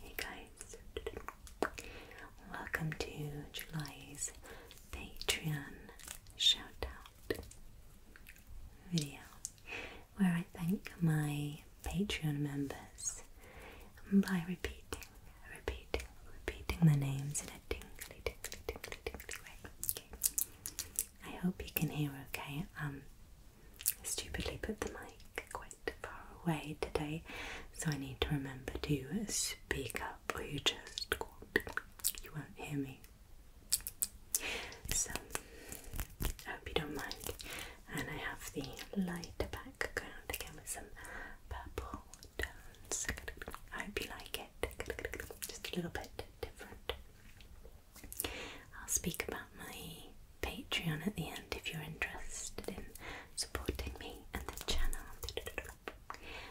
Hey guys, welcome to July's Patreon shout out video where I thank my Patreon members by repeating, repeating, repeating the names in a tingly, tingly, tingly, way. I hope you can hear okay. Um, I stupidly put the mic quite far away today, so I need to remember to speak up or you just you won't hear me. So, hope you don't mind. And I have the lighter background again with some purple tones. I hope you like it. Just a little bit different. I'll speak about my Patreon at the end if you're interested in supporting me and the channel.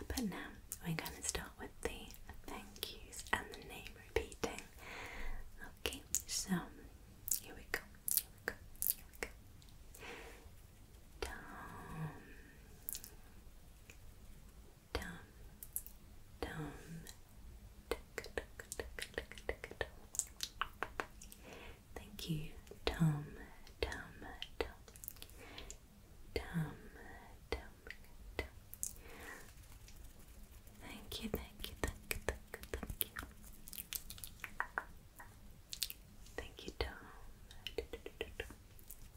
But now we're going to start with the thank yous and the name repeating. Okay, so here we go. Here we go. Here down, down, Thank you, Tom, Tom, Tom, Tom. Thank you, thank you, thank you, thank you, thank you. Thank you, Tom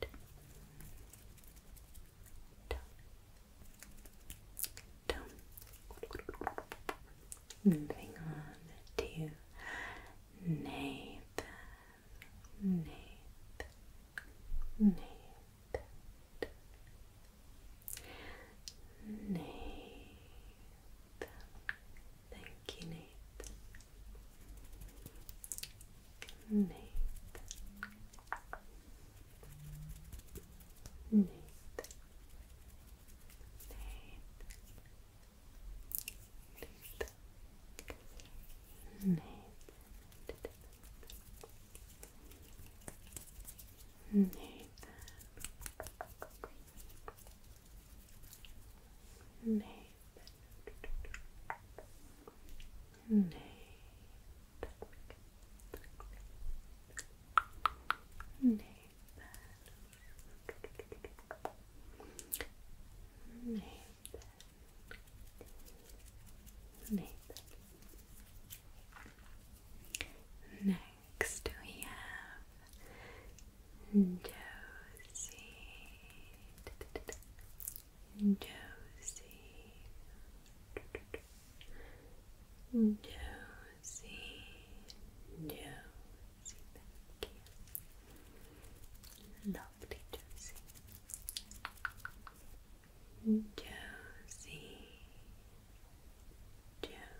Done. Moving on to Nathan, Nathan, Nathan, Nathan, Thank you, Nate. Nate. Nate. Nate. Nate. Nathan. Nathan. Name. Name. Nathan. Nathan. Next we have Josie, Josie, Josie, Josie, thank you. Lovely Josie. Josie, Josie,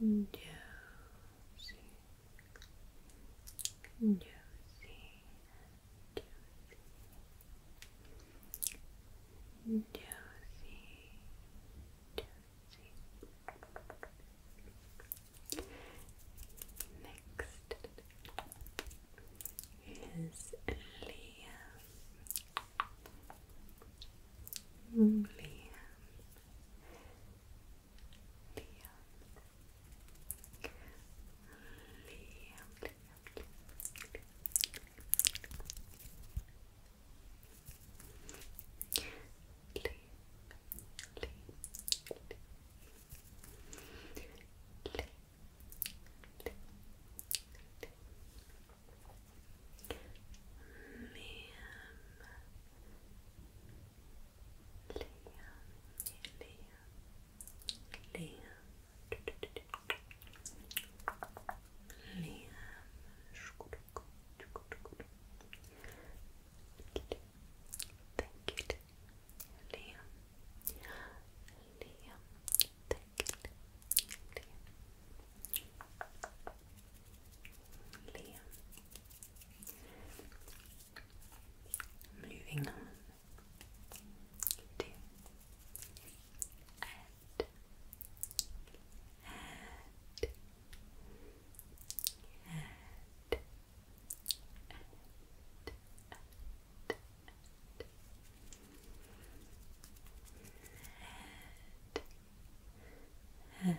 Josie, Josie, Josie, Josie, Next is Leah. Liam. Liam. Liam. Liam. Liam. Liam. Liam, thank Liam. Moving on head, head, head,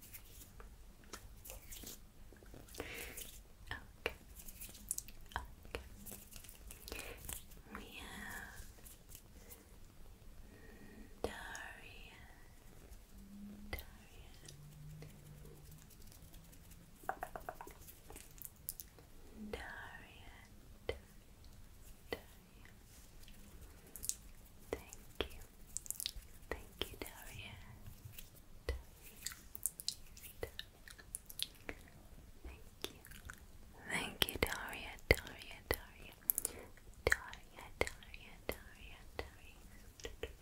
Okay. Okay. We have Darian. Darian. Darian. Thank you. Thank you, Daria. Daria. Thank you. Thank you, Daria, Daria, Daria. Daria, Daria, Daria, Daria.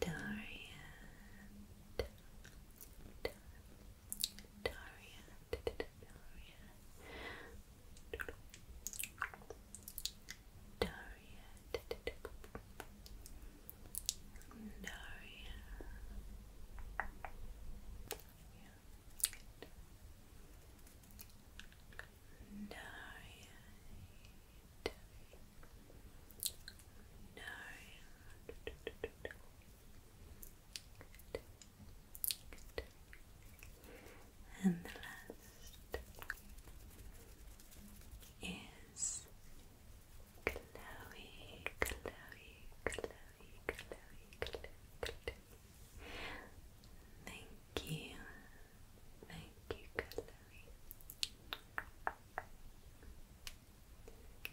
Daria. Daria, Daria, Daria, Daria. Daria. Daria. Daria. Daria. And the last is Chloe, Chloe, Chloe, Chloe, Chloe. Thank you, thank you, Chloe.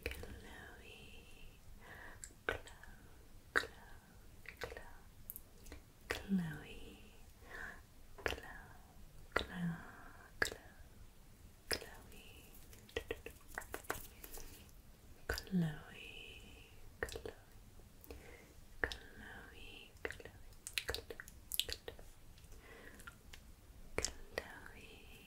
Chloe, Chloe, Chloe, Chloe, Chloe, Chloe, Chloe, Chloe, Chloe, Chloe, Chloe,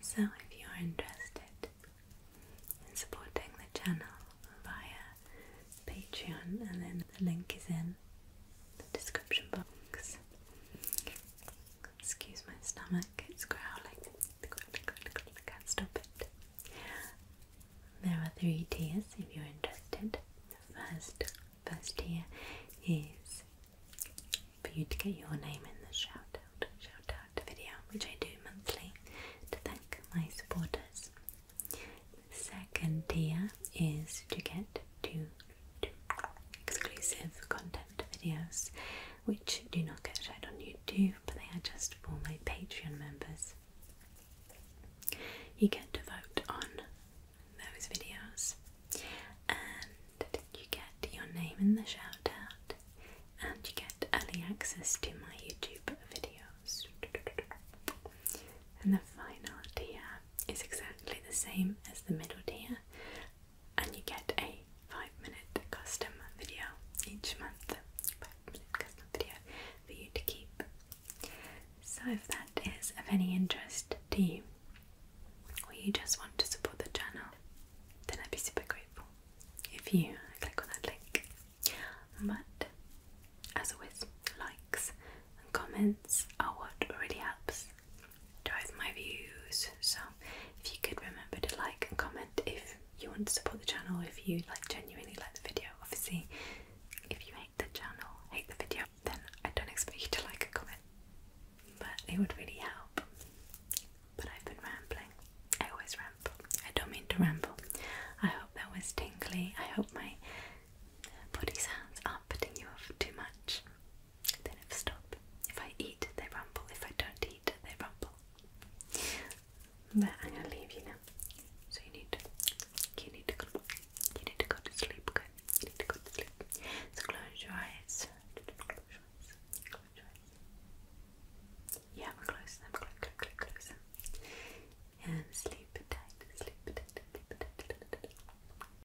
so, if you are interested in supporting the channel via Patreon, and then the link is in the description box. Excuse my stomach, it's growling. can't stop it. There are three tiers if you're interested. The first First tier is for you to get your name in the shout out, video, which I do monthly to thank my supporters. second tier is to get two, exclusive content videos, which do not get shared on YouTube, but they are just for my Patreon members. You get to vote on those videos, and you get your name in the shout out, and you get early access to my YouTube videos. And the final tier is exactly the same as the middle tier, and you get a five minute custom video each month. Five minute custom video for you to keep so, if that is of any interest to you, or you just want to support the channel, then I'd be super grateful if you click on that link. But as always, likes and comments are what really helps drive my views. So, if you could remember to like and comment if you want to support the channel, if you like genuinely like the video, obviously, if you the channel, hate the video, then I don't expect you to like a comment. But it would really help. But I've been rambling. I always ramble. I don't mean to ramble. I hope that was tingly. I hope my body sounds aren't putting you off too much. They never stop. If I eat, they ramble. If I don't eat, they ramble. But I'm gonna leave you now yeah. So you need, you need to go, you need to go to sleep. Okay, you need to go to sleep. So close your eyes. Yeah, we're close them. Close, close, close, close them. And Sleep tight. Sleep tight.